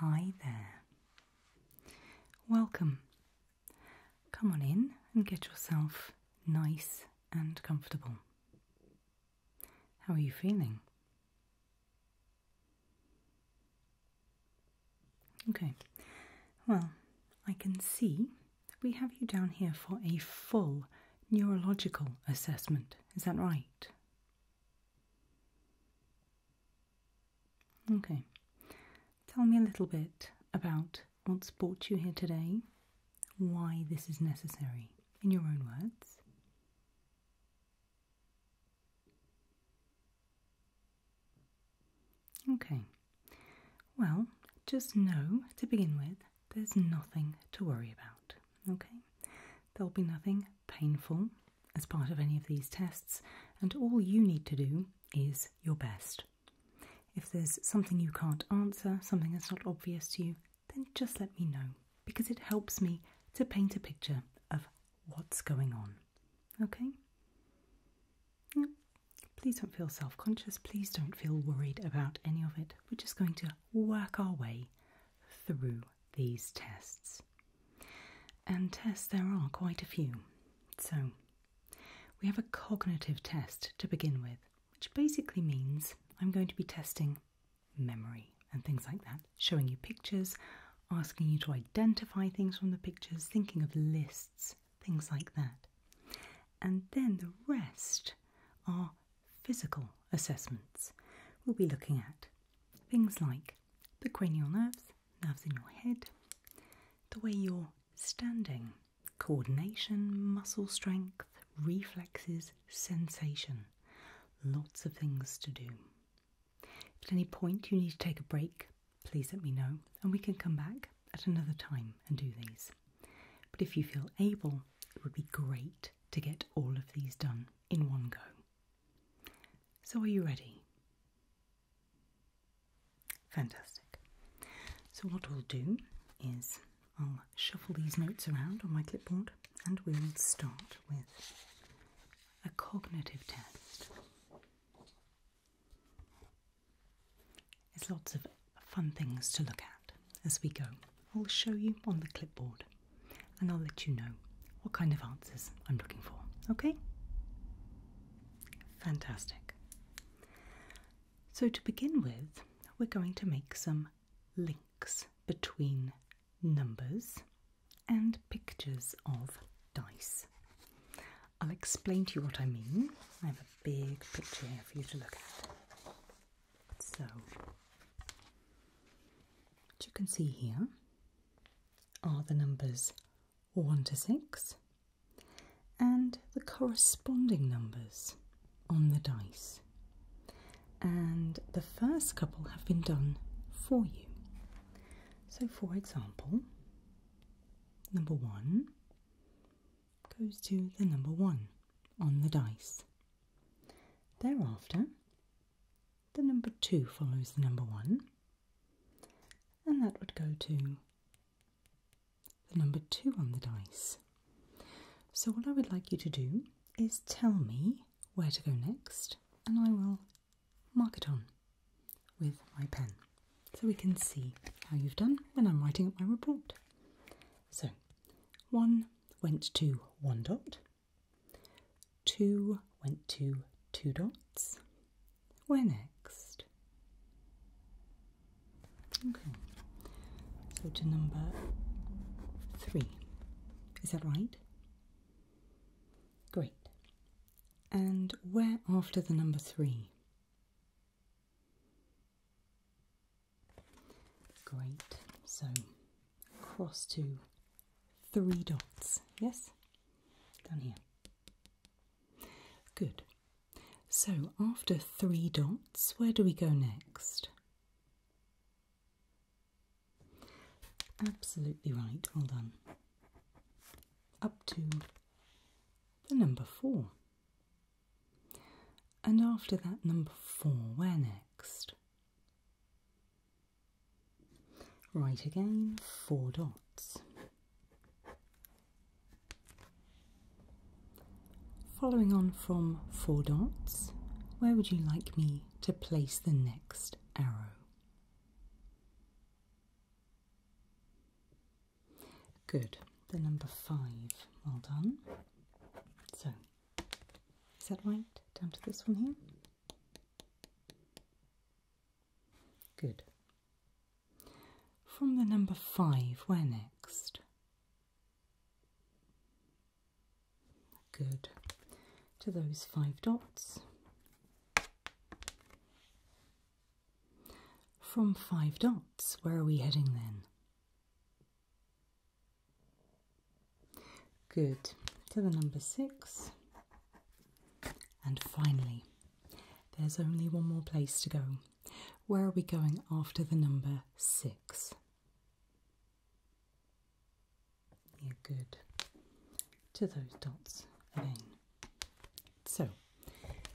Hi there. Welcome. Come on in and get yourself nice and comfortable. How are you feeling? Okay, well, I can see we have you down here for a full neurological assessment. Is that right? Okay, tell me a little bit about what's brought you here today, why this is necessary, in your own words. Okay, well, just know to begin with there's nothing to worry about, okay? There'll be nothing painful as part of any of these tests, and all you need to do is your best. If there's something you can't answer, something that's not obvious to you, then just let me know because it helps me to paint a picture of what's going on. Okay? Please don't feel self conscious. Please don't feel worried about any of it. We're just going to work our way through these tests. And tests there are quite a few. So we have a cognitive test to begin with, which basically means I'm going to be testing memory and things like that, showing you pictures, asking you to identify things from the pictures, thinking of lists, things like that. And then the rest are physical assessments. We'll be looking at Things like the cranial nerves, nerves in your head, the way you're standing, coordination, muscle strength, reflexes, sensation. Lots of things to do. at any point you need to take a break, please let me know and we can come back at another time and do these. But if you feel able, it would be great to get all of these done in one go. So, are you ready? Fantastic. So, what we'll do is I'll shuffle these notes around on my clipboard and we will start with a cognitive test. There's lots of fun things to look at as we go. I'll show you on the clipboard and I'll let you know what kind of answers I'm looking for. Okay? Fantastic. So, to begin with, we're going to make some links between numbers and pictures of dice. I'll explain to you what I mean. I have a big picture here for you to look at. So, as you can see here, are the numbers 1 to 6 and the corresponding numbers on the dice. And the first couple have been done for you. So, for example, number 1 goes to the number 1 on the dice. Thereafter, the number 2 follows the number 1, and that would go to the number 2 on the dice. So, what I would like you to do is tell me where to go next, and I will mark it on with my pen so we can see how you've done when I'm writing up my report. So, 1 went to 1 dot, Two went to two dots. Where next? Okay, so to number three. Is that right? Great. And where after the number three? Great. So cross to three dots, yes? Down here. Good. So after three dots, where do we go next? Absolutely right, well done. Up to the number four. And after that number four, where next? Right again, four dots. Following on from four dots, where would you like me to place the next arrow? Good, the number five. Well done. So, is that right? Down to this one here. Good. From the number five, where next? Good. To those five dots. From five dots, where are we heading then? Good. To the number six. And finally, there's only one more place to go. Where are we going after the number six? Yeah, good. To those dots again. So,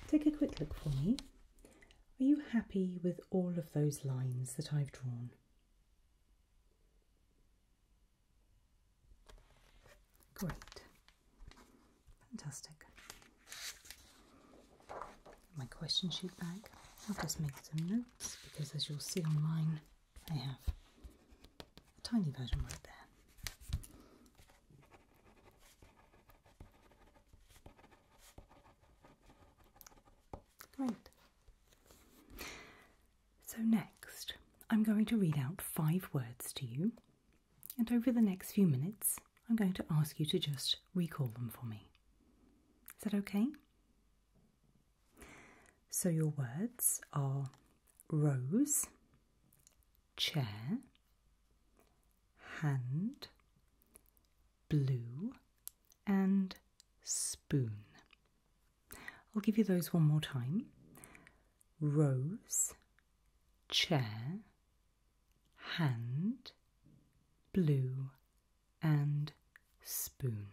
take a quick look for me. Are you happy with all of those lines that I've drawn? Great. Fantastic. My question sheet back. I'll just make some notes because, as you'll see on mine, I have a tiny version right there. Great. So, next, I'm going to read out five words to you, and over the next few minutes, I'm going to ask you to just recall them for me. Is that okay? So, your words are rose, chair, hand, blue, and spoon. I'll give you those one more time. Rose, chair, hand, blue, and spoon.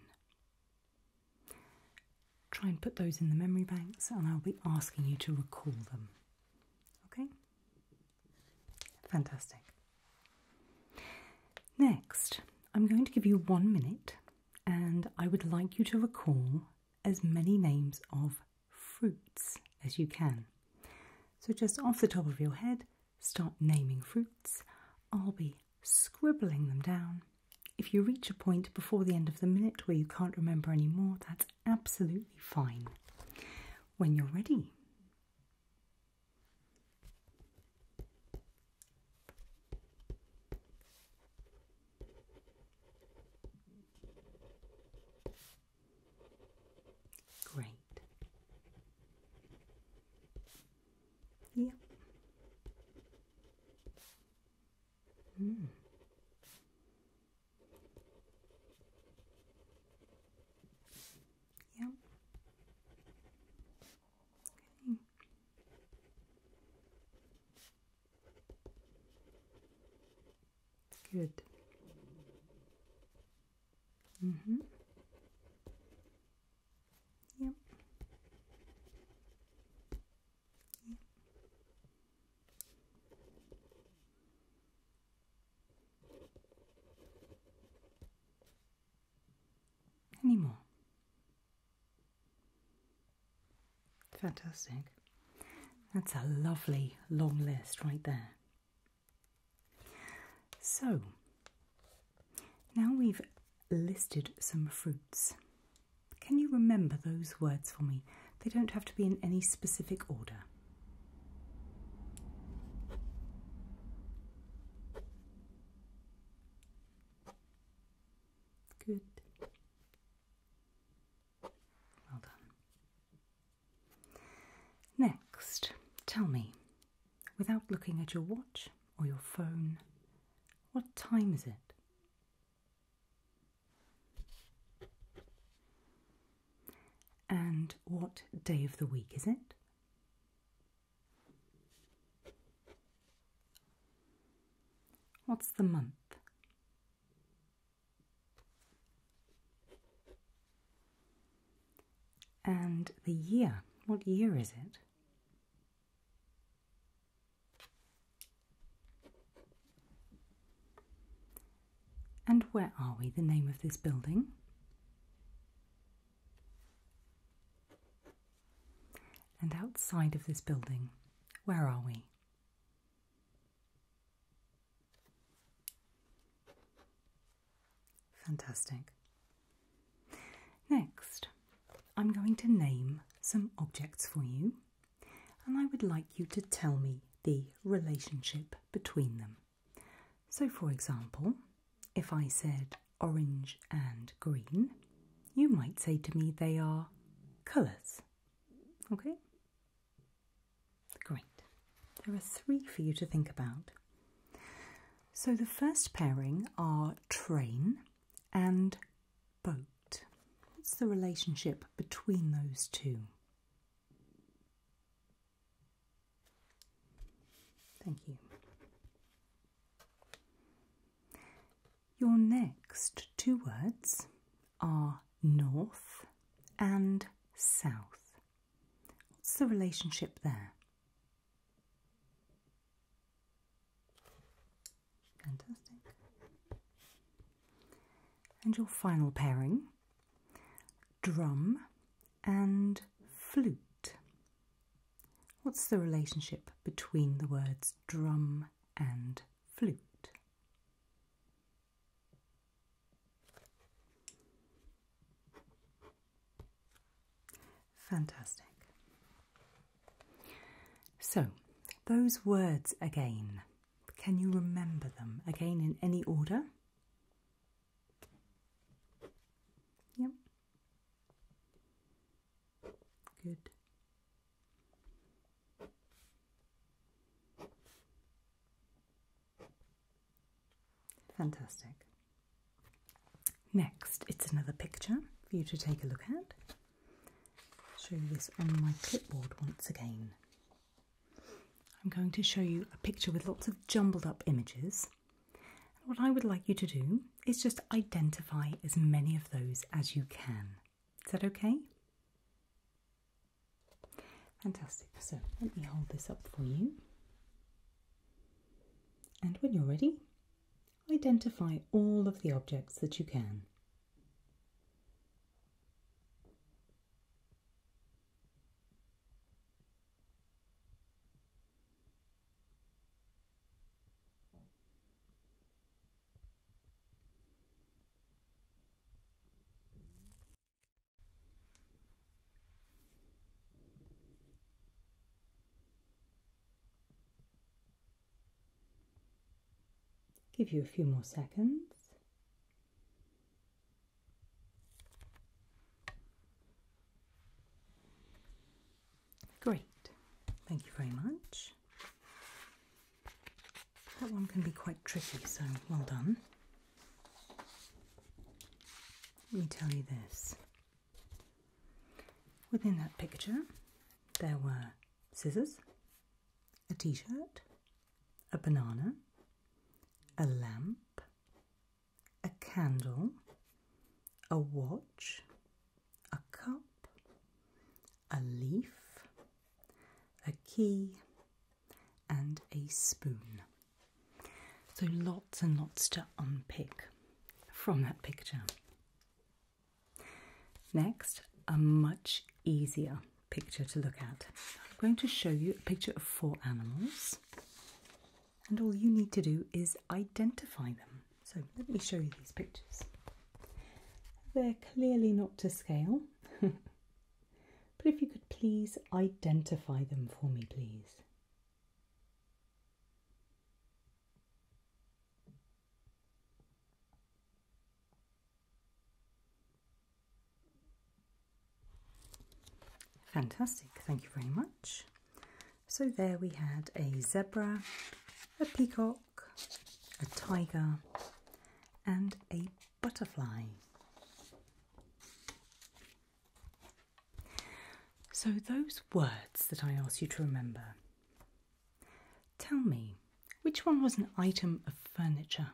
Try and put those in the memory banks, and I'll be asking you to recall them. Okay? Fantastic. Next, I'm going to give you one minute and I would like you to recall as many names of fruits as you can. So, just off the top of your head, start naming fruits. I'll be scribbling them down. If you reach a point before the end of the minute where you can't remember anymore, that's absolutely fine. When you're ready, Great. Yep. Hmm. Yep. Okay. Good. Mm-hmm. Yep. Any more? Fantastic. That's a lovely long list right there. So, now we've listed some fruits. Can you remember those words for me? They don't have to be in any specific order. Good. Well done. Next, tell me, without looking at your watch or your phone, what time is it? And what day of the week is it? What's the month? And the year. What year is it? And where are we? The name of this building? And outside of this building, where are we? Fantastic. Next, I'm going to name some objects for you, and I would like you to tell me the relationship between them. So, for example, if I said orange and green, you might say to me they are colours. Okay? Great. There are three for you to think about. So the first pairing are train and boat. What's the relationship between those two? Thank you. Your next two words are north and south. What's the relationship there? Fantastic. And your final pairing drum and flute. What's the relationship between the words drum and flute. Fantastic. So, those words again, can you remember them? Again, in any order? Yep. Good. Fantastic. Next, it's another picture for you to take a look at. I'll Show you this on my clipboard once again. I'm going to show you a picture with lots of jumbled up images. what I would like you to do is just identify as many of those as you can. Is that okay? Fantastic. So let me hold this up for you. And when you're ready, identify all of the objects that you can. Give you a few more seconds. Great, thank you very much. That one can be quite tricky, so well done. Let me tell you this. Within that picture, there were scissors, a t shirt, a banana, a lamp, a candle, a watch, a cup, a leaf, a key, and a spoon. So lots and lots to unpick from that picture. Next, a much easier picture to look at. I'm going to show you a picture of four animals, and all you need to do is identify them. So let me show you these pictures. They're clearly not to scale, but if you could please identify them for me, please. Fantastic, thank you very much. So there we had a zebra, a peacock, a tiger, and a butterfly. So, those words that I asked you to remember, tell me which one was an item of furniture?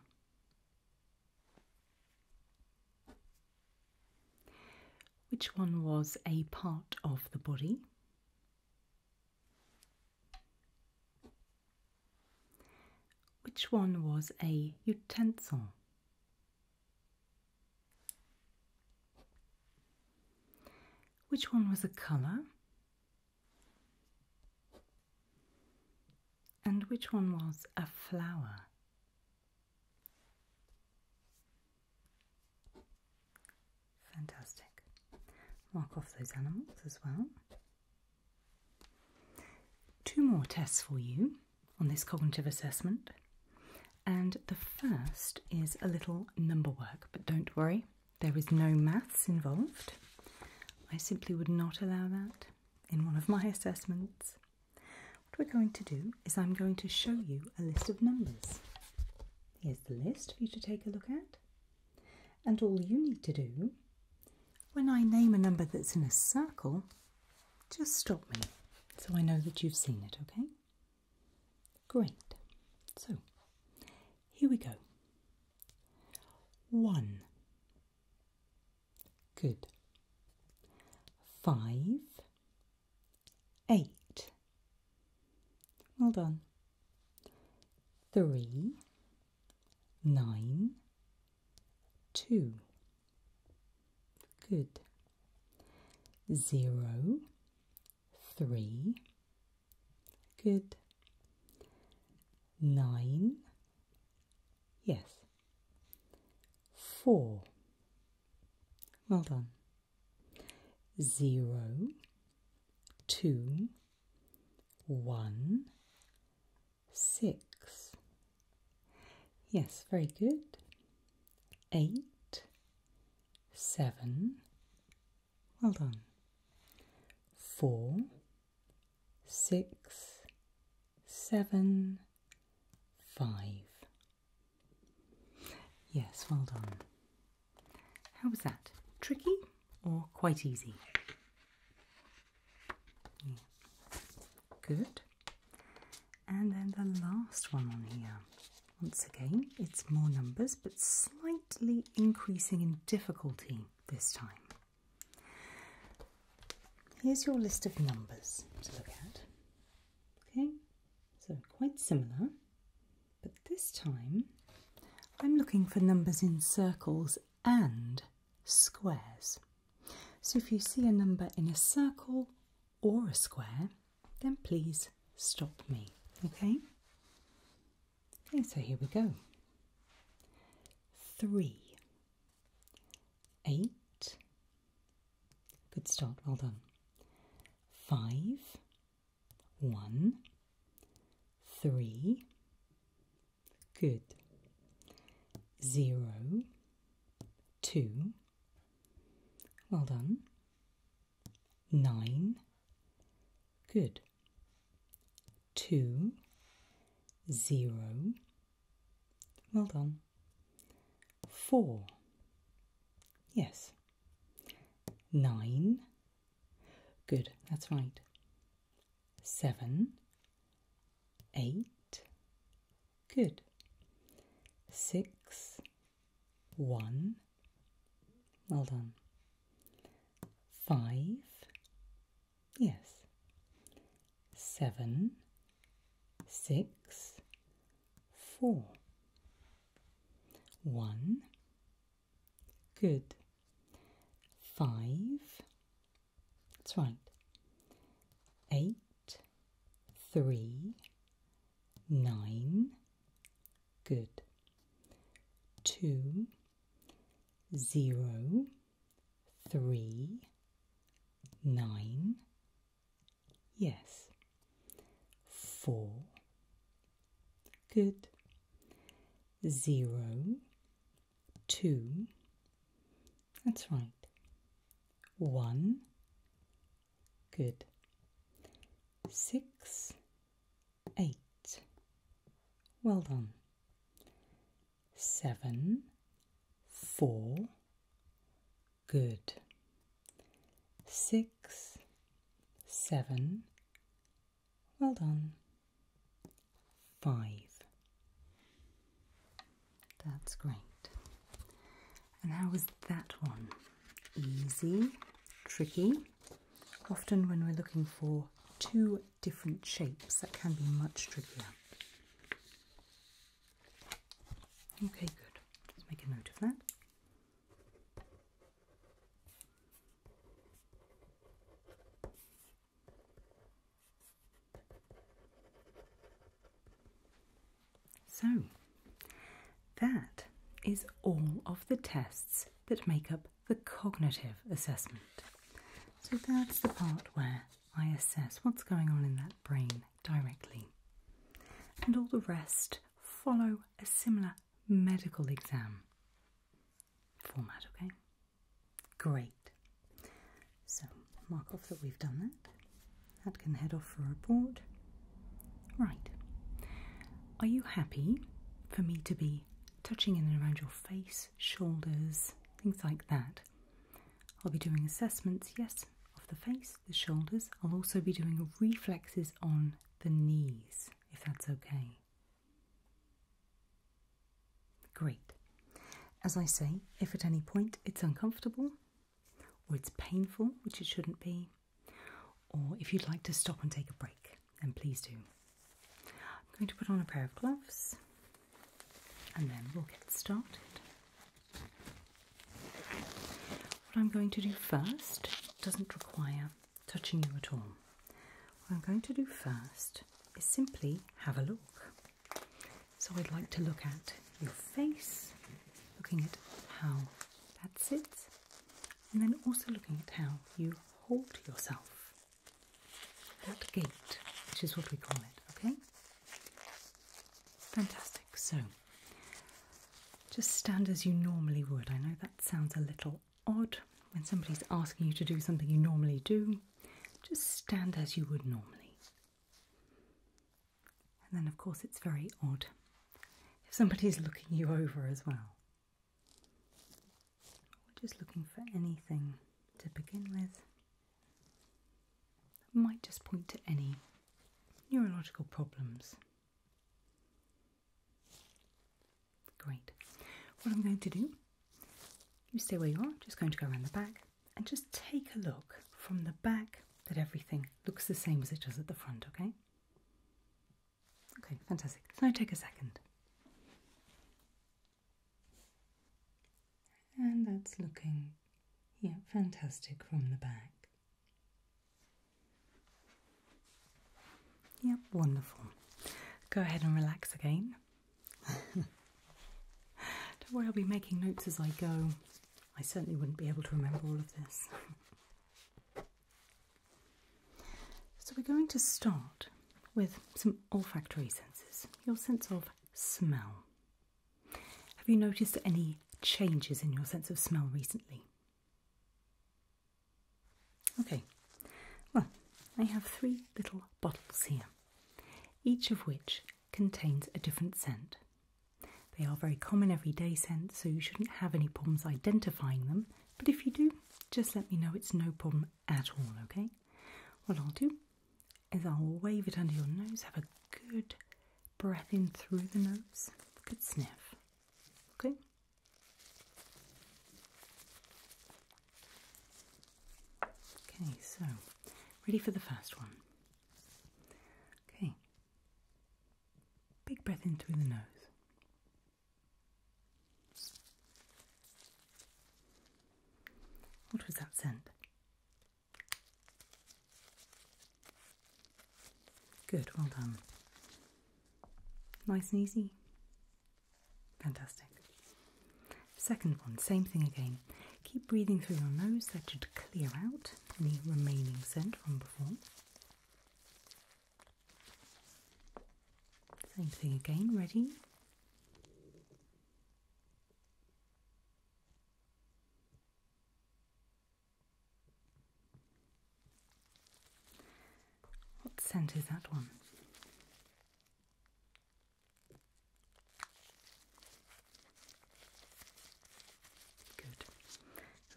Which one was a part of the body? Which one was a utensil? Which one was a colour? And which one was a flower? Fantastic. Mark off those animals as well. Two more tests for you on this cognitive assessment. And the first is a little number work, but don't worry, there is no maths involved. I simply would not allow that in one of my assessments. What we're going to do is I'm going to show you a list of numbers. Here's the list for you to take a look at. And all you need to do, when I name a number that's in a circle, just stop me so I know that you've seen it, okay? Great. So, here we go. One. Good. Five. Eight. Well done. Three, nine, two. Good. Zero, three. Good. Nine. Yes. Four. Well done. Zero, two one, six. Yes, very good. Eight, seven. Well done. Four, six, seven, five. Yes, well done. How was that? Tricky or quite easy? Good. And then the last one on here. Once again, it's more numbers but slightly increasing in difficulty this time. Here's your list of numbers to look at. Okay, so quite similar. But this time I'm looking for numbers in circles and squares. So if you see a number in a circle or a square, then please stop me, okay? Okay, so here we go. Three, eight, good start, well done. Five, one, three, good. Zero, two, well done. Nine, good. Two, zero, well done. Four, yes. Nine, Good, that's right. Seven, eight, good. Six, one, well done. Five, yes. Seven. Six. Four. One, Good. Five. That's right. Eight. Three. Nine. Good. Two. Zero. Three. Nine. Yes. Four, Good. Zero. Two. that's right. One, good. Six, eight, well done. Seven, four, good. Six, seven, well done. Five. That's great. And how was that one? Easy, tricky. Often, when we're looking for two different shapes, that can be much trickier. Okay, good. Let's make a note of that. So, that is all of the tests that make up the cognitive assessment. So, that's the part where I assess what's going on in that brain directly. And all the rest follow a similar medical exam format, okay? Great. So, mark off that we've done that. That can head off for a report. Right. Are you happy for me to be touching in and around your face, shoulders, things like that? I'll be doing assessments, yes, of the face, the shoulders. I'll also be doing reflexes on the knees, if that's okay. Great. As I say, if at any point it's uncomfortable or it's painful, which it shouldn't be, or if you'd like to stop and take a break, then please do. I'm going to put on a pair of gloves and then we'll get started. What I'm going to do first doesn't require touching you at all. What I'm going to do first is simply have a look. So I'd like to look at your face, looking at how that sits, and then also looking at how you hold yourself. That gait, which is what we call it, okay? Fantastic. So just stand as you normally would. I know that sounds a little odd when somebody's asking you to do something you normally do. Just stand as you would normally. And then, of course, it's very odd if somebody's looking you over as well. We're just looking for anything to begin with might just point to any neurological problems. Great. What I'm going to do, you stay where you are, just going to go around the back and just take a look from the back that everything looks the same as it does at the front, okay? Okay, fantastic. So now take a second. And that's looking, yeah, fantastic from the back. Yep, wonderful. Go ahead and relax again. Don't worry, I'll be making notes as I go. I certainly wouldn't be able to remember all of this. so, we're going to start with some olfactory senses, your sense of smell. Have you noticed any changes in your sense of smell recently? Okay, well, I have three little bottles here, each of which contains a different scent. They are very common everyday scents, so you shouldn't have any problems identifying them. But if you do, just let me know it's no problem at all, okay? What I'll do is I'll wave it under your nose, have a good breath in through the nose, good sniff, okay? Okay, so ready for the first one. Okay. Big breath in through the nose. What was that scent? Good, well done. Nice and easy. Fantastic. Second one, same thing again. Keep breathing through your nose, that should clear out any remaining scent from before. Same thing again, ready? What scent is that one? Good.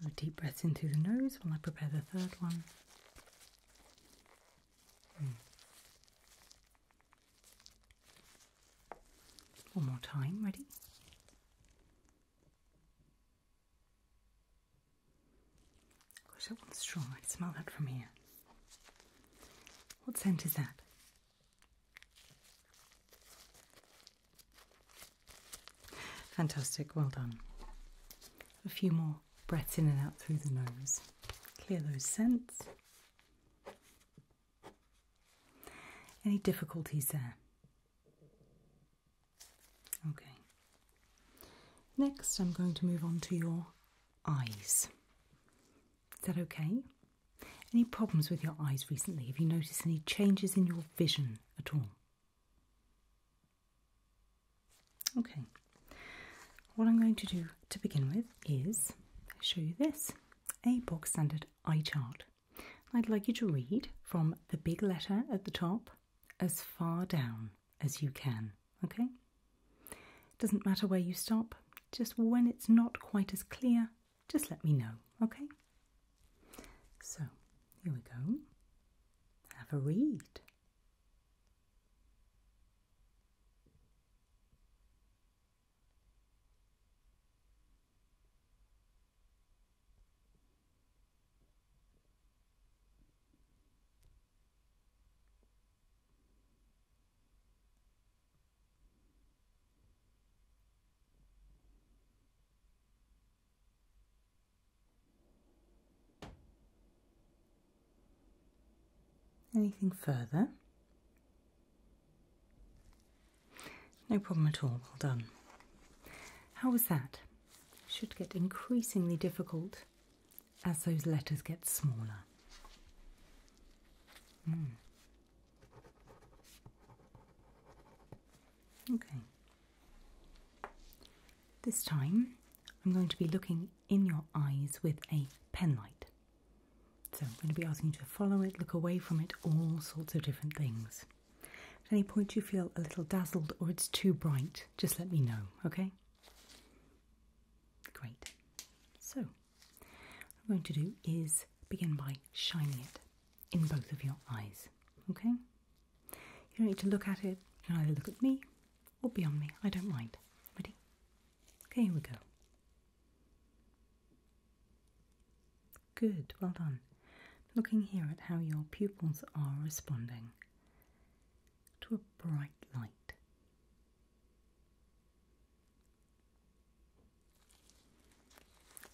So deep breaths in through the nose while I prepare the third one. Hmm. One more time, ready? Gosh, that one's strong. I can smell that from here. What scent is that? Fantastic, well done. A few more breaths in and out through the nose. Clear those scents. Any difficulties there? Okay. Next, I'm going to move on to your eyes. Is that okay? Any problems with your eyes recently? Have you noticed any changes in your vision at all? Okay. What I'm going to do to begin with is show you this a box standard eye chart. I'd like you to read from the big letter at the top as far down as you can, okay? Doesn't matter where you stop, just when it's not quite as clear, just let me know, okay? So, here we go. Have a read. Anything further? No problem at all, well done. How was that? Should get increasingly difficult as those letters get smaller. Hmm. Okay. This time I'm going to be looking in your eyes with a penlight. So I'm going to be asking you to follow it, look away from it, all sorts of different things. At any point you feel a little dazzled or it's too bright, just let me know, okay? Great. So, what I'm going to do is begin by shining it in both of your eyes. Okay? You don't need to look at it. You can either look at me or beyond me. I don't mind. Ready? Okay, here we go. Good, well done. Looking here at how your pupils are responding to a bright light.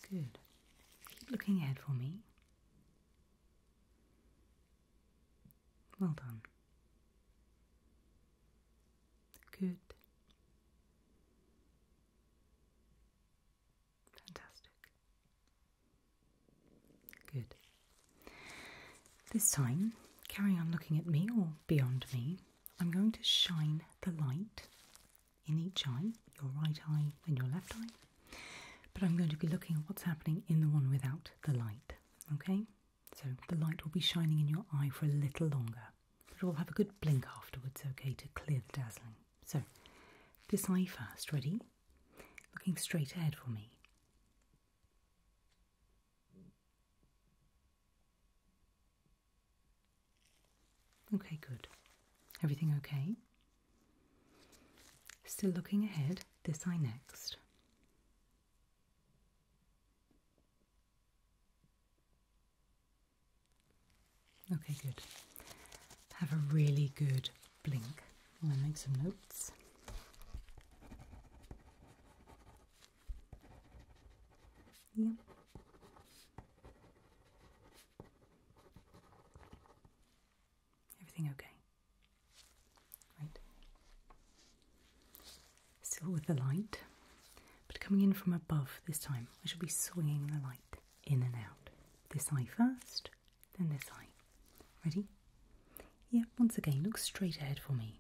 Good. Keep looking ahead for me. Well done. Good. Fantastic. Good. This time, carry on looking at me or beyond me. I'm going to shine the light in each eye, your right eye and your left eye, but I'm going to be looking at what's happening in the one without the light. Okay? So the light will be shining in your eye for a little longer, but it will have a good blink afterwards, okay, to clear the dazzling. So this eye first, ready? Looking straight ahead for me. Okay, good. Everything okay? Still looking ahead, this eye next. Okay, good. Have a really good blink. i will make some notes. Yep. Everything okay? Right. Still with the light, but coming in from above this time. I shall be swinging the light in and out. This eye first, then this eye. Ready? Yeah, once again, look straight ahead for me.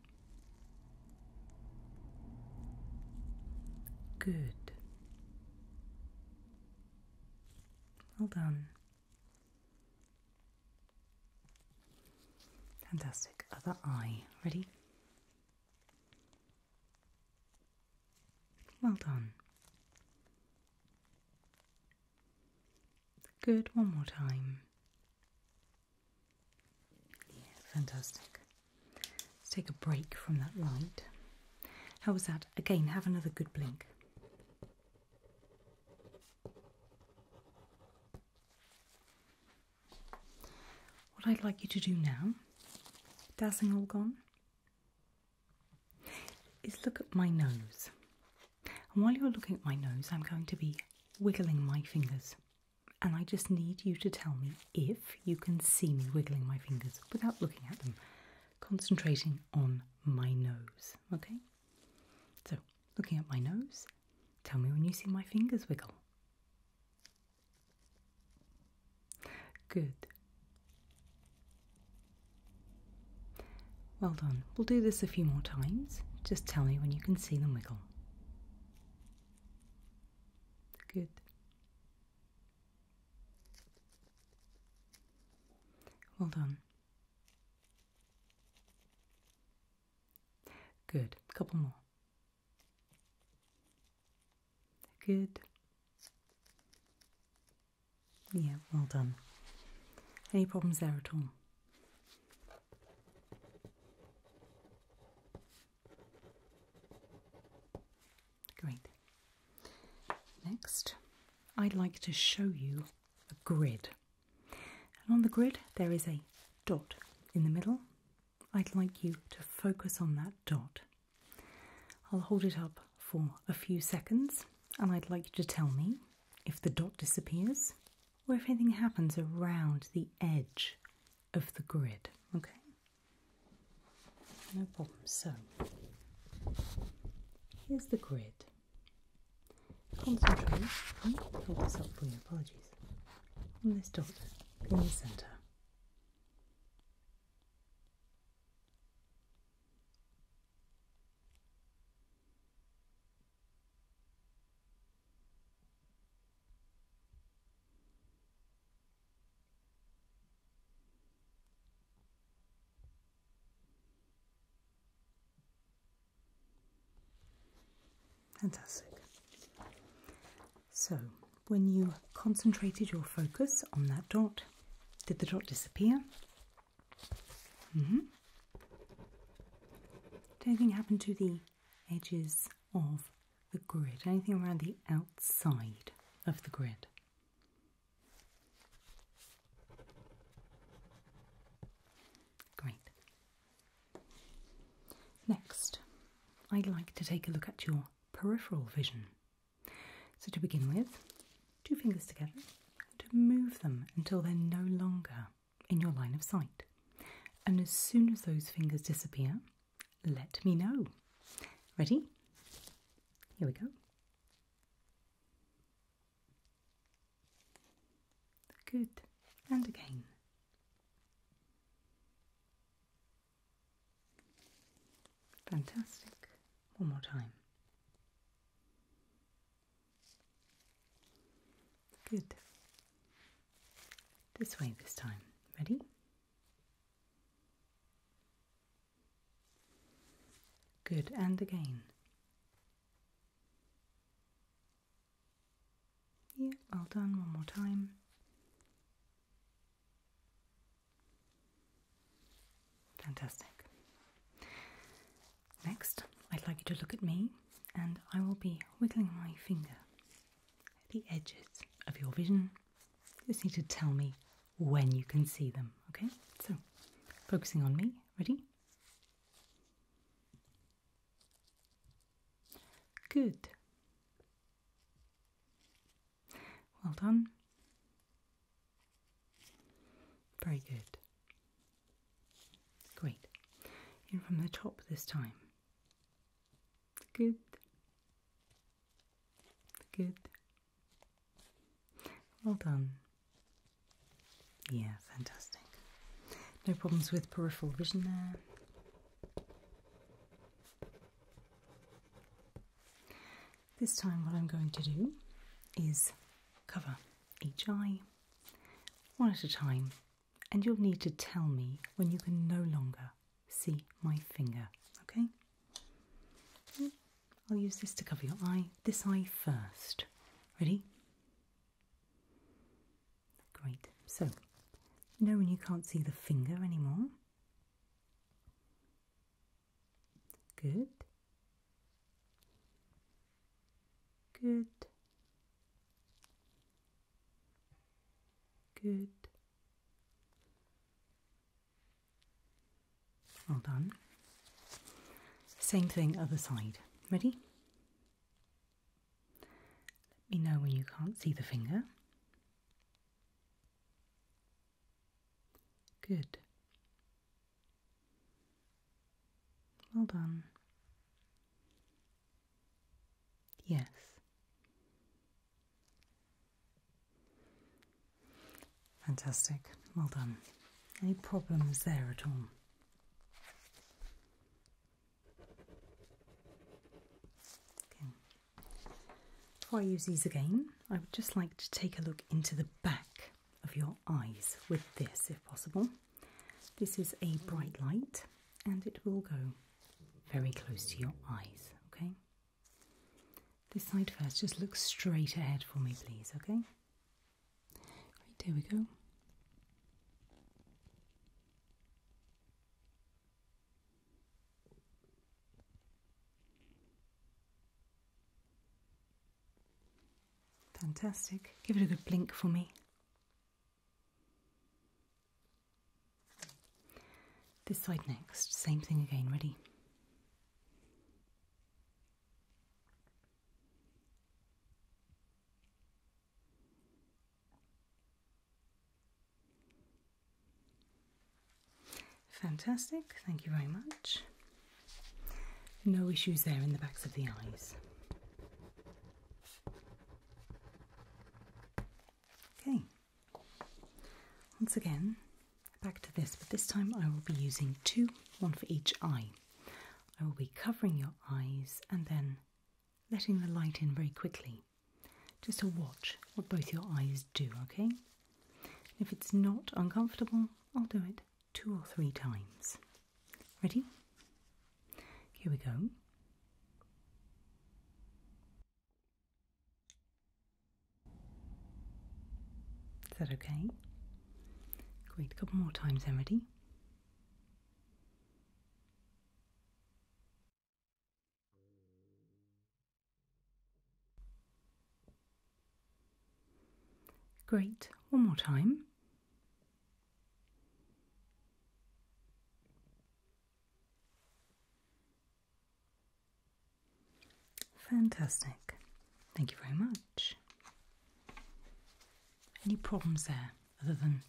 Good. Well done. Fantastic. Other eye. Ready? Well done. Good, one more time. Yeah, fantastic. Let's take a break from that light. How was that? Again, have another good blink. What I'd like you to do now, dazzling all gone, is look at my nose. And while you're looking at my nose, I'm going to be wiggling my fingers. And I just need you to tell me if you can see me wiggling my fingers without looking at them, concentrating on my nose. Okay? So, looking at my nose, tell me when you see my fingers wiggle. Good. Well done. We'll do this a few more times. Just tell me when you can see them wiggle. Good. Well done. Good. A couple more. Good. Yeah, well done. Any problems there at all? Great. Next, I'd like to show you a grid. And on the grid, there is a dot in the middle. I'd like you to focus on that dot. I'll hold it up for a few seconds and I'd like you to tell me if the dot disappears or if anything happens around the edge of the grid. Okay? No problem. So, here's the grid. Concentrate, hmm? hold this up for me, apologies, on this dot in the centre. Fantastic. So, when you concentrated your focus on that dot, did the dot disappear? Mm -hmm. anything happen to the edges of the grid? Anything around the outside of the grid? Great. Next, I'd like to take a look at your peripheral vision. So, to begin with, two fingers together, to move them until they're no longer in your line of sight. And as soon as those fingers disappear, let me know. Ready? Here we go. Good. And again. Fantastic. One more time. Good. This way this time. Ready? Good. And again. Yeah, well done. One more time. Fantastic. Next, I'd like you to look at me and I will be wiggling my finger at the edges of your vision. You just need to tell me when you can see them, okay? So, focusing on me, ready? Good. Well done. Very good. Great. In from the top this time. Good. Good. Well done. Yeah, fantastic. No problems with peripheral vision there. This time, what I'm going to do is cover each eye one at a time, and you'll need to tell me when you can no longer see my finger, okay? Hmm, I'll use this to cover your eye, this eye first. Ready? Great. So, you know when you can't see the finger anymore? Good. Good. Good. Well done. Same thing, other side. Ready? Let me know when you can't see the finger. Good. Well done. Yes. Fantastic. Well done. Any problems there at all? Okay. Before I use these again, I would just like to take a look into the back of your eyes with this, if possible. This is a bright light and it will go very close to your eyes, okay? This side first, just look straight ahead for me, please, okay? Right, there we go. Fantastic. Give it a good blink for me. This side next, same thing again, ready? Fantastic, thank you very much. No issues there in the backs of the eyes. Okay, once again, back to this, but this time I will be using two, one for each eye. I will be covering your eyes and then letting the light in very quickly, just to watch what both your eyes do, okay? If it's not uncomfortable, I'll do it two or three times. Ready? Here we go. Is that okay? Great, a couple more times then, ready? Great, one more time. Fantastic. Thank you very much. Any problems there other than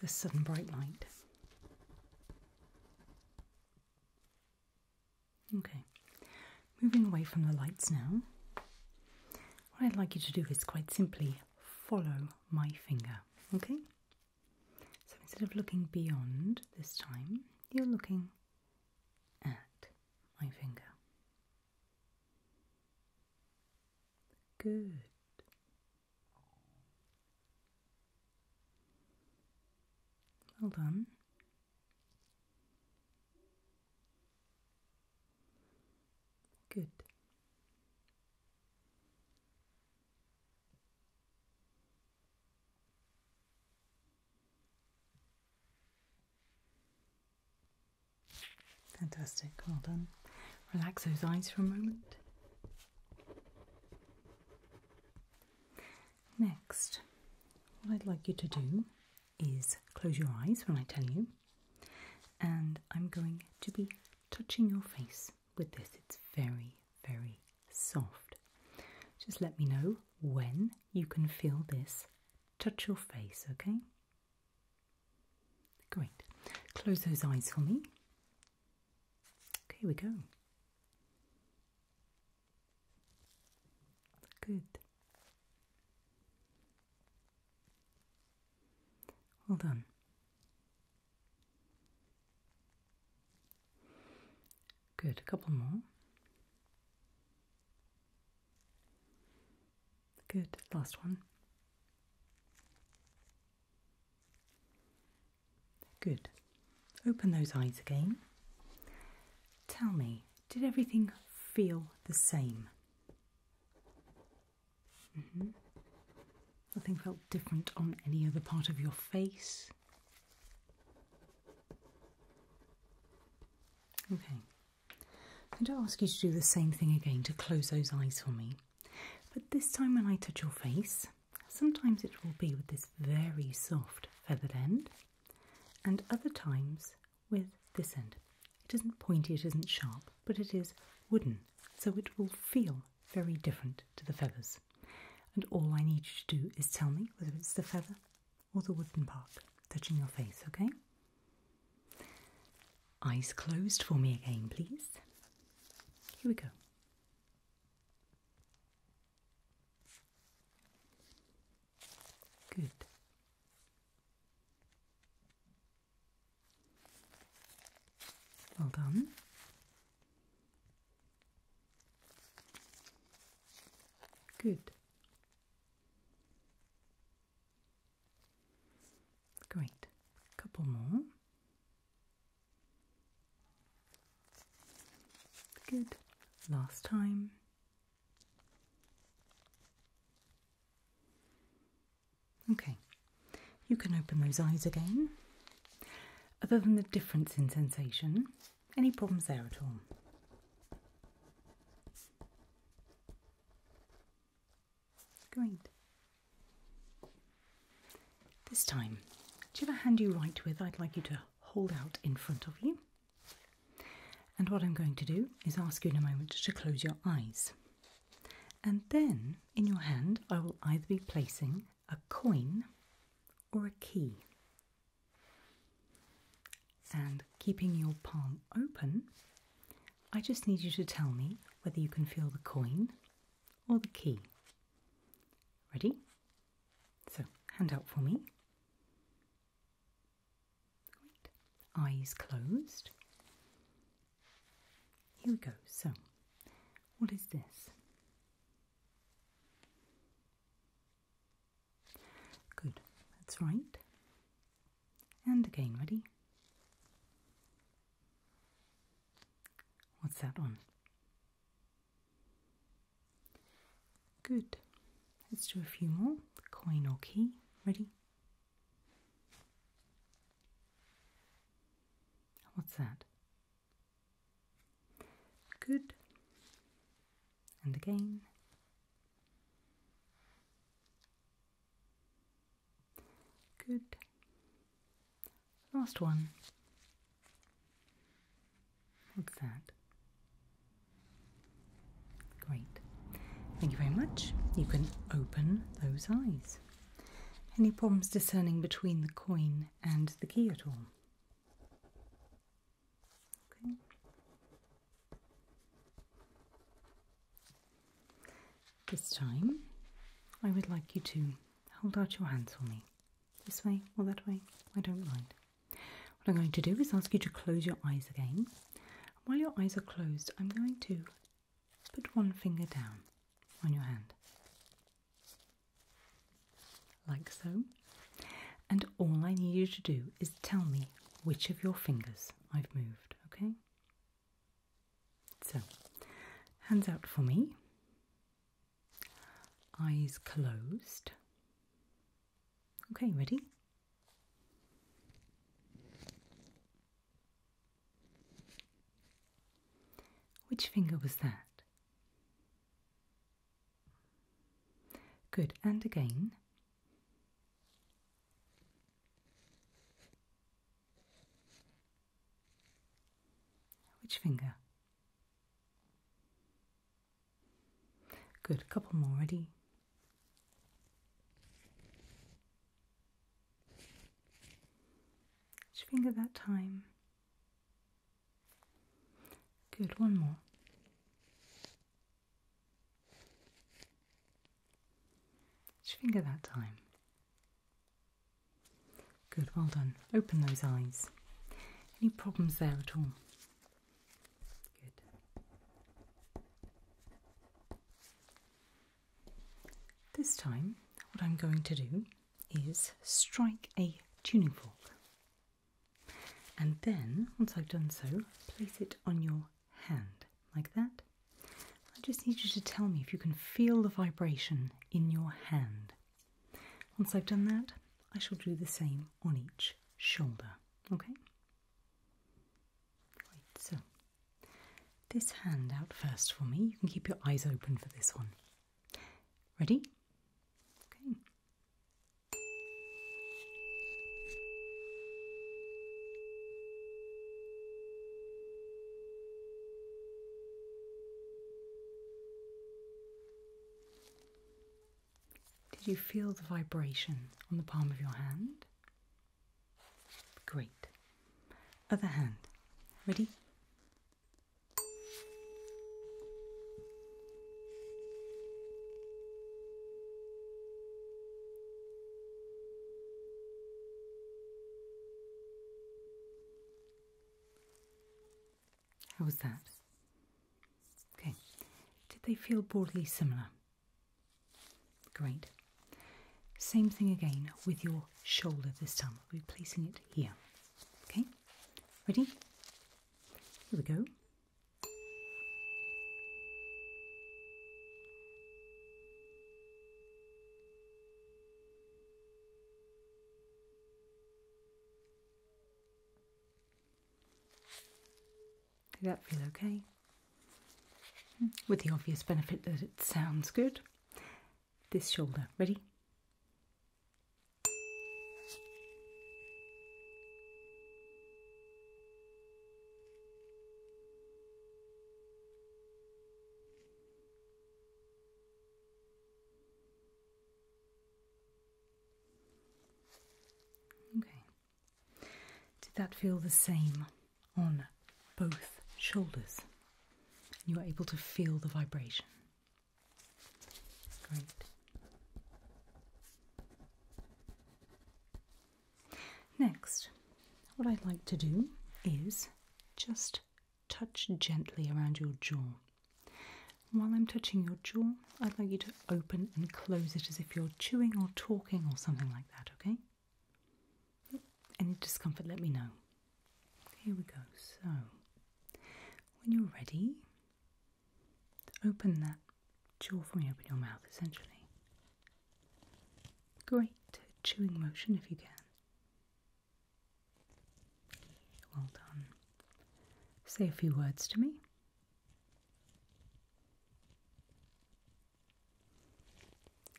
this sudden bright light? Okay, moving away from the lights now. What I'd like you to do is quite simply follow my finger. Okay? So instead of looking beyond this time, you're looking at my finger. Good. Well done. Good. Fantastic, well done. Relax those eyes for a moment. Next, what I'd like you to do is close your eyes when I tell you and I'm going to be touching your face with this. It's very, very soft. Just let me know when you can feel this touch your face, okay? Great. Close those eyes for me. Okay, here we go. Good. Well done. Good, a couple more. Good, last one. Good. Open those eyes again. Tell me, did everything feel the same? Mm-hmm. Nothing felt different on any other part of your face. Okay. I'm going to ask you to do the same thing again to close those eyes for me. But this time, when I touch your face, sometimes it will be with this very soft feathered end, and other times with this end. It isn't pointy, it isn't sharp, but it is wooden, so it will feel very different to the feathers. And all I need you to do is tell me whether it's the feather or the wooden part touching your face, okay? Eyes closed for me again, please. Here we go. Good. Well done. Good. Great. A couple more. Good. Last time. Okay, you can open those eyes again. Other than the difference in sensation, any problems there at all? Great. This time, whichever hand you write with, I'd like you to hold out in front of you. And what I'm going to do is ask you in a moment to close your eyes. And then in your hand, I will either be placing a coin or a key. And keeping your palm open, I just need you to tell me whether you can feel the coin or the key. Ready? So, hand out for me. Eyes closed. Here we go. So, what is this? Good, that's right. And again, ready? What's that on? Good. Let's do a few more. Coin or key. Ready? What's that? Good. And again. Good. Last one. What's that? Great. Thank you very much. You can open those eyes. Any problems discerning between the coin and the key at all? Okay. This time, I would like you to hold out your hands for me. This way or that way, I don't mind. What I'm going to do is ask you to close your eyes again. While your eyes are closed, I'm going to Put one finger down on your hand. Like so. And all I need you to do is tell me which of your fingers I've moved, okay? So, hands out for me. Eyes closed. Okay, ready? Which finger was that? Good, and again. Which finger? Good, a couple more, ready? Just finger that time. Good, one more. Just finger that time. Good, well done. Open those eyes. Any problems there at all? Good. This time, what I'm going to do is strike a tuning fork. And then, once I've done so, place it on your hand, like that. I just need you to tell me if you can feel the vibration in your hand. Once I've done that, I shall do the same on each shoulder, okay? so this hand out first for me. You can keep your eyes open for this one. Ready? Okay. Did you feel the vibration on the palm of your hand? Great. Other hand. Ready? How was that? Okay. Did they feel broadly similar? Great. Same thing again with your shoulder this time. I'll be placing it here. Okay? Ready? Here we go. Did that feel okay? with the obvious benefit that it sounds good. This shoulder, ready? Okay. Did that feel the same? on both shoulders. you are able to feel the vibration. Great. Next, what I'd like to do is just touch gently around your jaw. While I'm touching your jaw, I'd like you to open and close it as if you're chewing or talking or something like that, okay? Any discomfort, let me know. Here we go. So, when you're ready, open that jaw for me, open your mouth essentially. Great chewing motion if you can. Well done. Say a few words to me.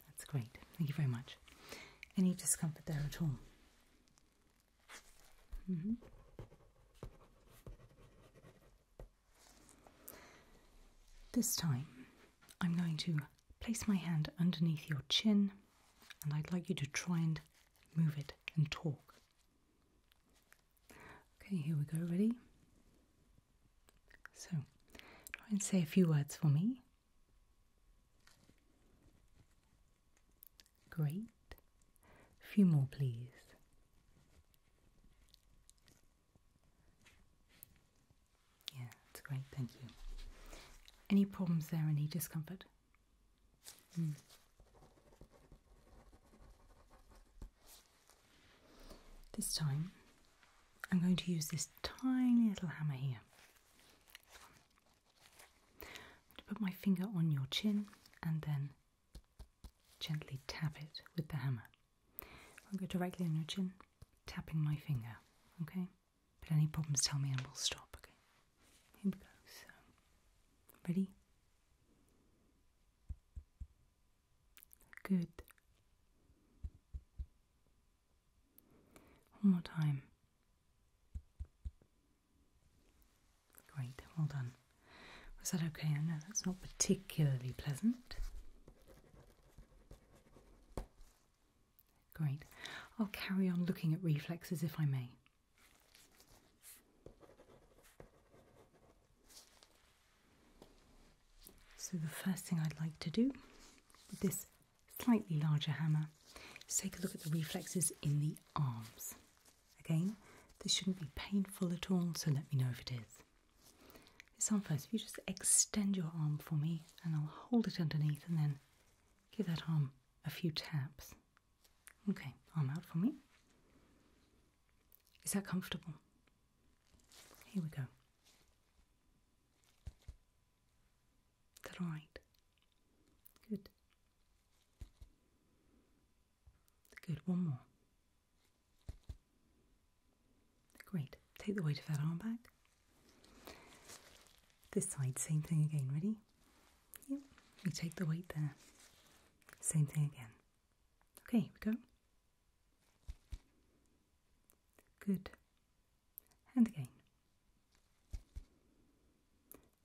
That's great. Thank you very much. Any discomfort there at all? Mm-hmm. This time, I'm going to place my hand underneath your chin and I'd like you to try and move it and talk. Okay, here we go. Ready? So, try and say a few words for me. Great. A few more, please. Yeah, that's great, thank you. Any problems there, any discomfort? Hmm. This time, I'm going to use this tiny little hammer here. to put my finger on your chin and then gently tap it with the hammer. I'll go directly on your chin, tapping my finger, okay? But any problems, tell me and we'll stop, okay? Here we go. So, ready? Good. One more time. Great, well done. Was that okay? I know that's not particularly pleasant. Great. I'll carry on looking at reflexes if I may. So, the first thing I'd like to do with this slightly larger hammer. Let's take a look at the reflexes in the arms. Again, this shouldn't be painful at all, so let me know if it is. This arm first, if you just extend your arm for me and I'll hold it underneath and then give that arm a few taps. Okay, arm out for me. Is that comfortable? Here we go. that alright? Good. Good, one more. Great. Take the weight of that arm back. This side, same thing again. Ready? Yep. You take the weight there. Same thing again. Okay, here we go. Good and again.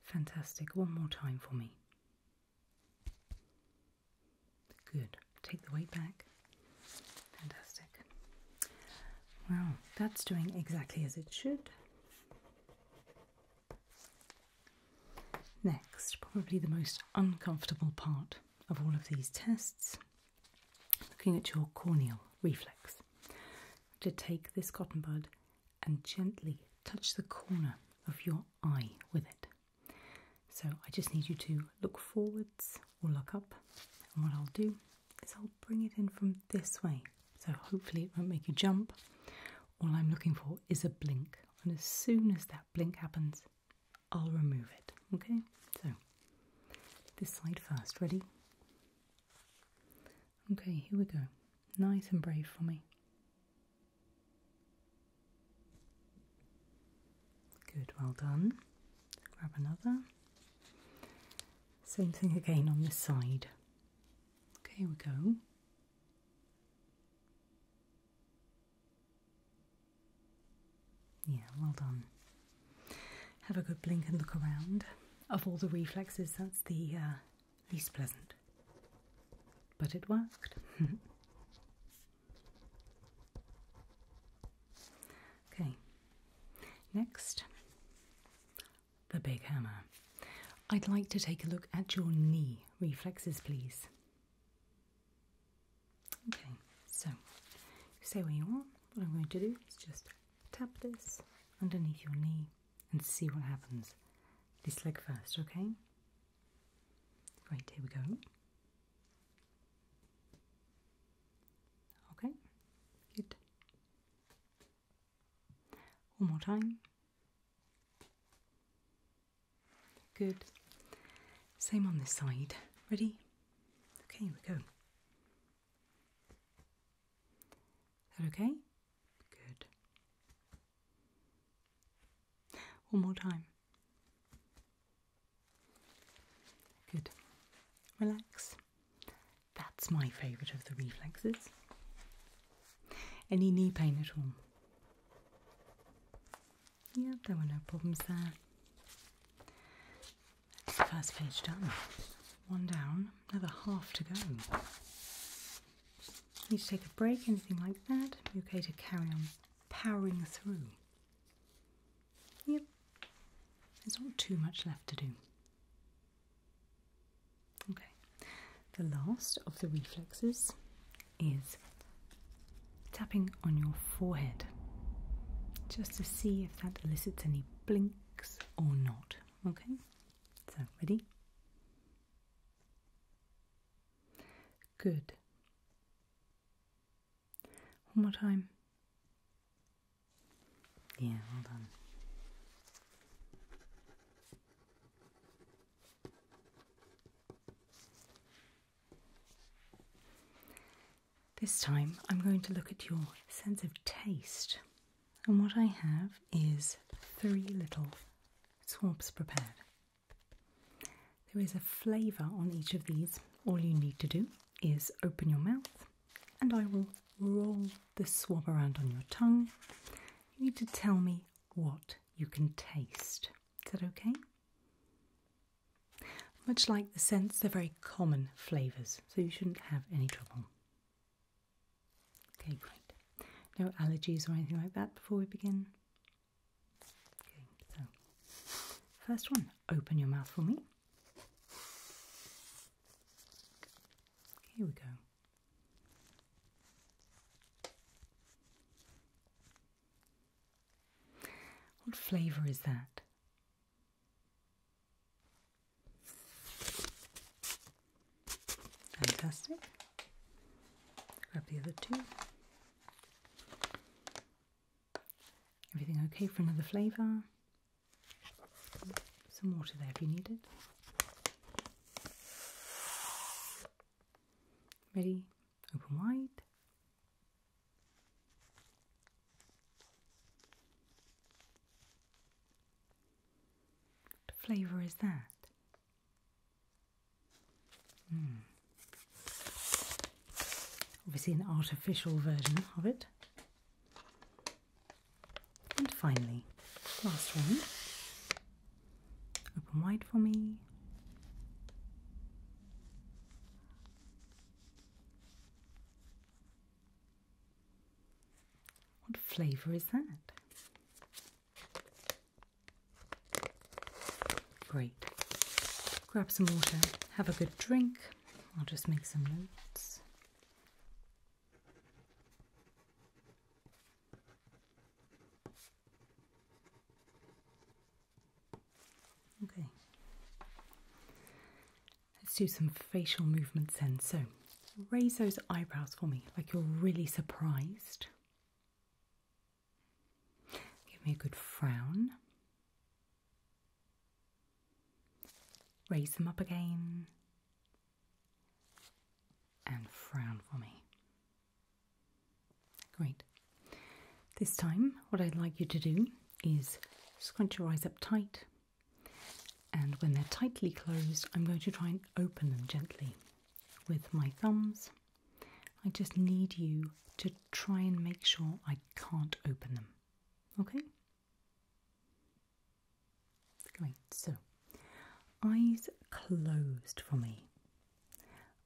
Fantastic. One more time for me. Good. Take the weight back. Fantastic. Wow, that's doing exactly as it should. Next, probably the most uncomfortable part of all of these tests looking at your corneal reflex. To take this cotton bud and gently touch the corner of your eye with it. So I just need you to look forwards or look up. And what I'll do is I'll bring it in from this way. So hopefully it won't make you jump. All I'm looking for is a blink. And as soon as that blink happens, I'll remove it. Okay? So this side first, ready? Okay, here we go. Nice and brave for me. Good, well done. Grab another. Same thing again on this side. Okay, here we go. Yeah, well done. Have a good blink and look around. Of all the reflexes, that's the uh, least pleasant. But it worked. okay, next, the big hammer. I'd like to take a look at your knee reflexes, please. Okay, so say stay where you are. What I'm going to do is just tap this underneath your knee and see what happens. This leg first, okay? Right, here we go. Okay, good. One more time. Good. Same on this side. Ready? Okay, we go. Is that okay? Good. One more time. Good. Relax. That's my favourite of the reflexes. Any knee pain at all? Yeah, there were no problems there. That's the first page done. One down, another half to go. Need to take a break, anything like that. Be okay to carry on powering through. Yep, there's not too much left to do. Okay, the last of the reflexes is tapping on your forehead just to see if that elicits any blinks or not. Okay, so ready? Good. One more time. Yeah, well done. This time I'm going to look at your sense of taste. And what I have is three little swabs prepared. There is a flavour on each of these. All you need to do is open your mouth and I will roll the swab around on your tongue. You need to tell me what you can taste. Is that okay? Much like the scents, they're very common flavours, so you shouldn't have any trouble. Okay, great. No allergies or anything like that before we begin? Okay, so first one, open your mouth for me. Here we go. What flavour is that? Fantastic. Grab the other two. Everything okay for another flavour? Some water there if you need it. Ready? Open wide. What flavor is that? Hmm. Obviously, an artificial version of it. And finally, last one. Open wide for me. What flavour is that? Great. Grab some water, have a good drink. I'll just make some notes. Okay. Let's do some facial movements then. So raise those eyebrows for me like you're really surprised. Give me a good frown. Raise them up again and frown for me. Great. This time, what I'd like you to do is scrunch your eyes up tight and when they're tightly closed, I'm going to try and open them gently with my thumbs. I just need you to try and make sure I can't open them. Okay? Great. So, eyes closed for me.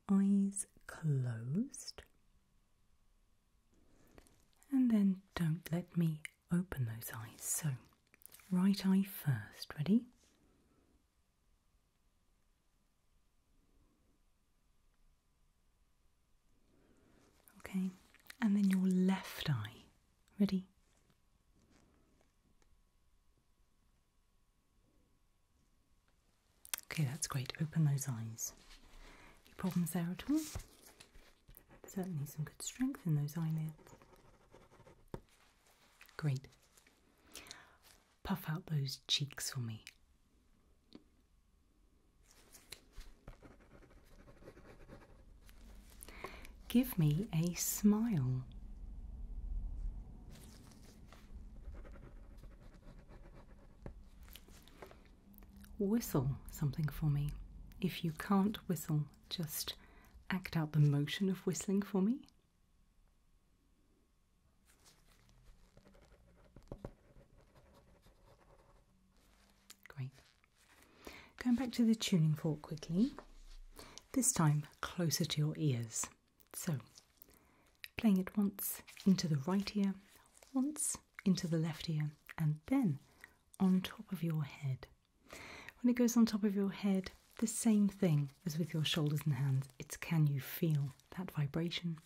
Eyes closed. And then don't let me open those eyes. So, right eye first. Ready? Okay, and then your left eye. Ready? Okay, that's great. Open those eyes. Any problems there at all? Certainly some good strength in those eyelids. Great. Puff out those cheeks for me. Give me a smile. Whistle something for me. If you can't whistle, just act out the motion of whistling for me. Great. Going back to the tuning fork quickly, this time closer to your ears. So, playing it once into the right ear, once into the left ear and then on top of your head. When it goes on top of your head, the same thing as with your shoulders and hands. It's can you feel that vibration?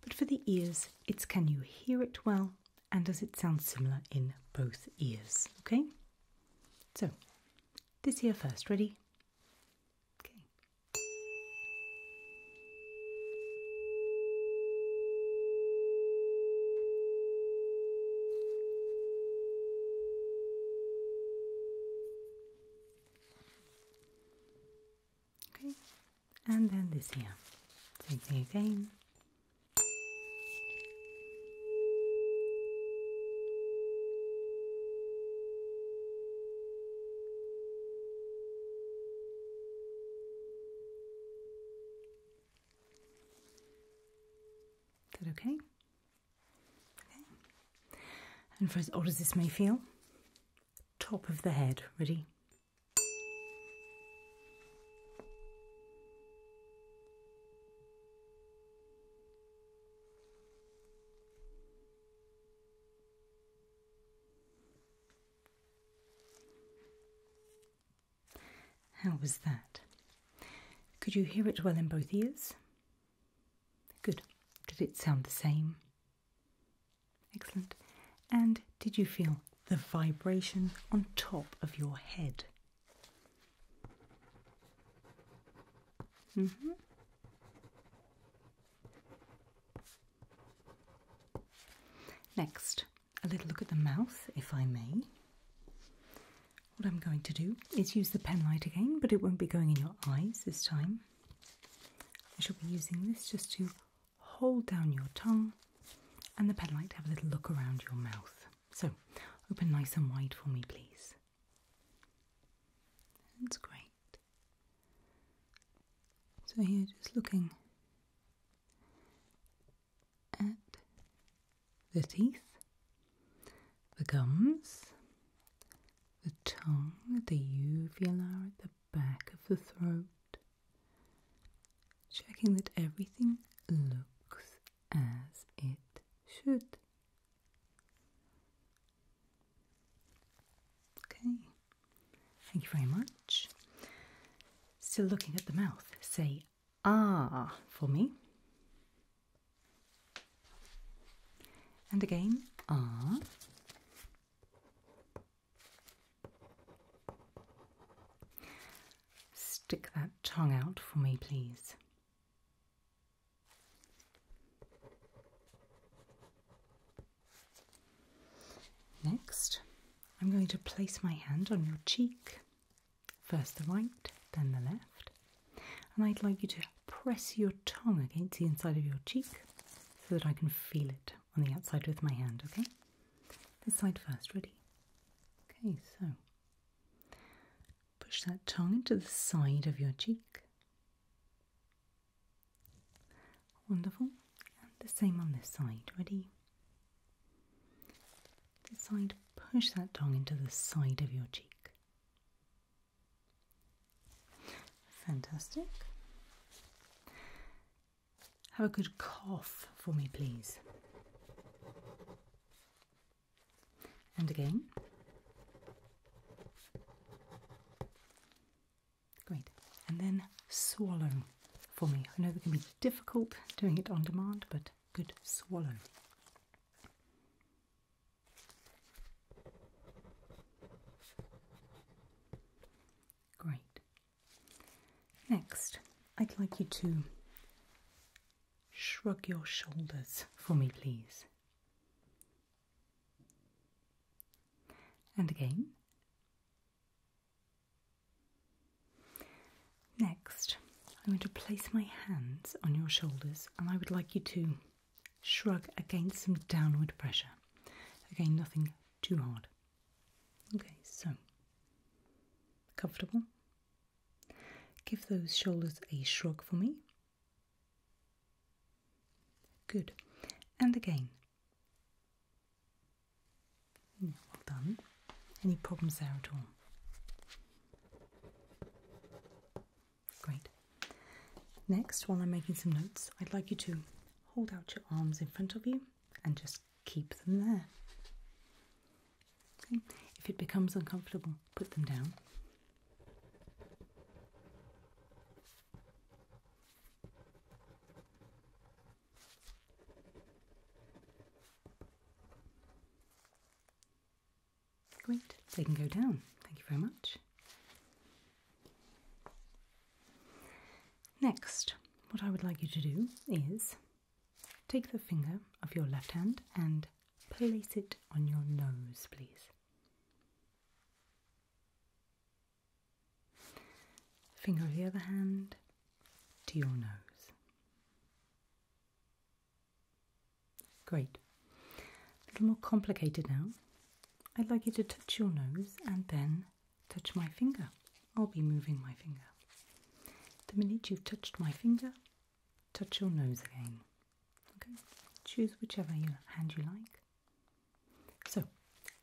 But for the ears, it's can you hear it well and does it sound similar in both ears? Okay? So, this ear first. Ready? Okay. Okay, and then this here. Same thing again. Is that okay? Okay. And for as odd as this may feel, top of the head. Ready? How was that? Could you hear it well in both ears? Good. Did it sound the same? Excellent. And did you feel the vibration on top of your head? Mm hmm. Next, a little look at the mouth, if I may. What I'm going to do is use the pen light again, but it won't be going in your eyes this time. I shall be using this just to hold down your tongue and the pen light to have a little look around your mouth. So open nice and wide for me, please. That's great. So here, just looking at the teeth, the gums, the tongue, the uvula at the back of the throat, checking that everything looks as it should. Okay, thank you very much. Still looking at the mouth, say ah for me. And again, ah. Stick that tongue out for me, please. Next, I'm going to place my hand on your cheek, first the right, then the left, and I'd like you to press your tongue against the inside of your cheek so that I can feel it on the outside with my hand, okay? This side first, ready? Okay, so push that tongue into the side of your cheek. Wonderful. And the same on this side, ready? Decide to push that tongue into the side of your cheek. Fantastic. Have a good cough for me, please. And again. Great. And then swallow for me. I know that can be difficult doing it on demand, but good swallow. Great. Next, I'd like you to shrug your shoulders for me, please. And again, Next, I'm going to place my hands on your shoulders and I would like you to shrug against some downward pressure. Again, nothing too hard. Okay, so comfortable. Give those shoulders a shrug for me. Good. And again, Hmm, well done. Any problems there at all? Great. Next, while I'm making some notes, I'd like you to hold out your arms in front of you and just keep them there. If it becomes uncomfortable, put them down. Great, they can go down. Thank you very much. Next, what I would like you to do is take the finger of your left hand and place it on your nose, please. Finger of the other hand to your nose. Great. A little more complicated now. I'd like you to touch your nose and then touch my finger. I'll be moving my finger. The minute you've touched my finger, touch your nose again. Okay? Choose whichever hand you like. So,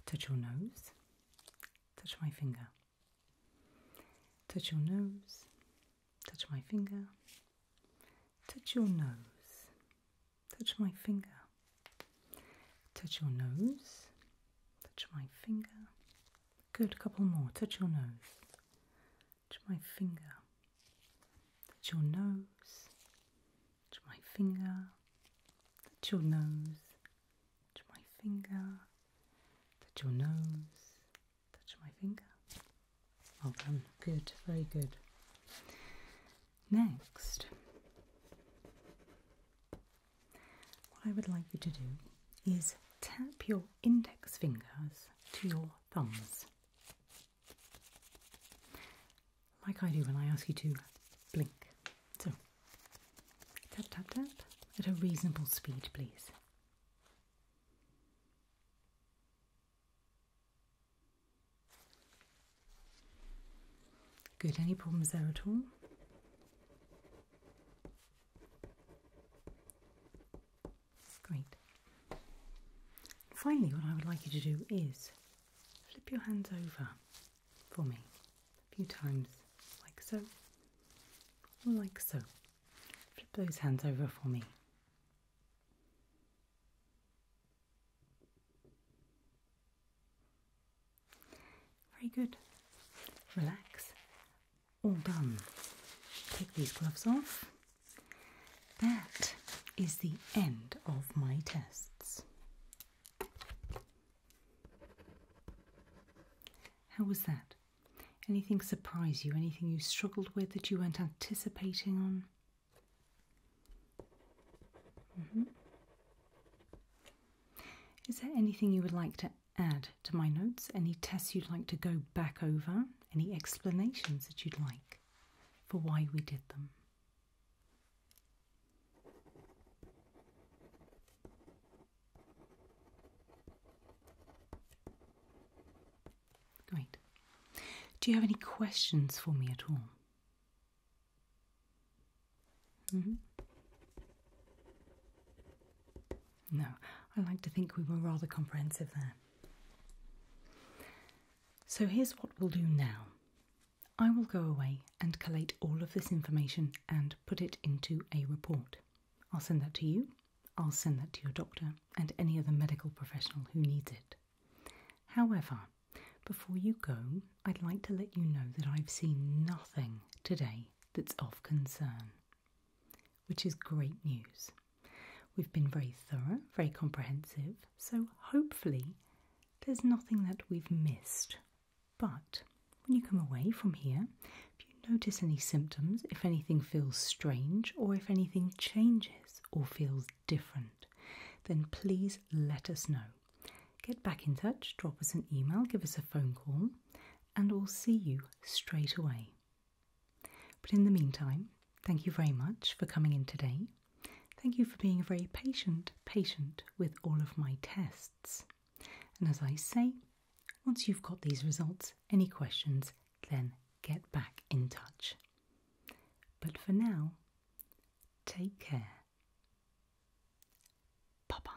touch your nose, touch my finger. Touch your nose, touch my finger, touch your nose, touch my finger, touch your nose, touch my finger. Good, couple more. Touch your nose, touch my finger, touch your nose, touch my finger, touch your nose, touch my finger, touch your nose, touch my finger. Well done, good, very good. Next, what I would like you to do is tap your index fingers to your thumbs. Like I do when I ask you to blink. So Tap, tap, tap. At a reasonable speed, please. Good, any problems there at all? Great. Finally, what I would like you to do is flip your hands over for me a few times, like so, like so. Flip those hands over for me. Very good. Relax. All done. Take these gloves off. That is the end of my tests. How was that? Anything surprise you? Anything you struggled with that you weren't anticipating on? Mm-hmm. Is there anything you would like to add to my notes? Any tests you'd like to go back over? Any explanations that you'd like for why we did them? Great. Do you have any questions for me at all? Mm-hmm. No, I like to think we were rather comprehensive there. So here's what we'll do now. I will go away and collate all of this information and put it into a report. I'll send that to you. I'll send that to your doctor and any other medical professional who needs it. However, before you go, I'd like to let you know that I've seen nothing today that's of concern, which is great news. We've been very thorough, very comprehensive, so hopefully there's nothing that we've missed but when you come away from here, if you notice any symptoms, if anything feels strange, or if anything changes or feels different, then please let us know. Get back in touch, drop us an email, give us a phone call, and we'll see you straight away. But in the meantime, thank you very much for coming in today. Thank you for being a very patient patient with all of my tests. And as I say, once you've got these results, any questions, then get back in touch. But for now, take care. Bye bye.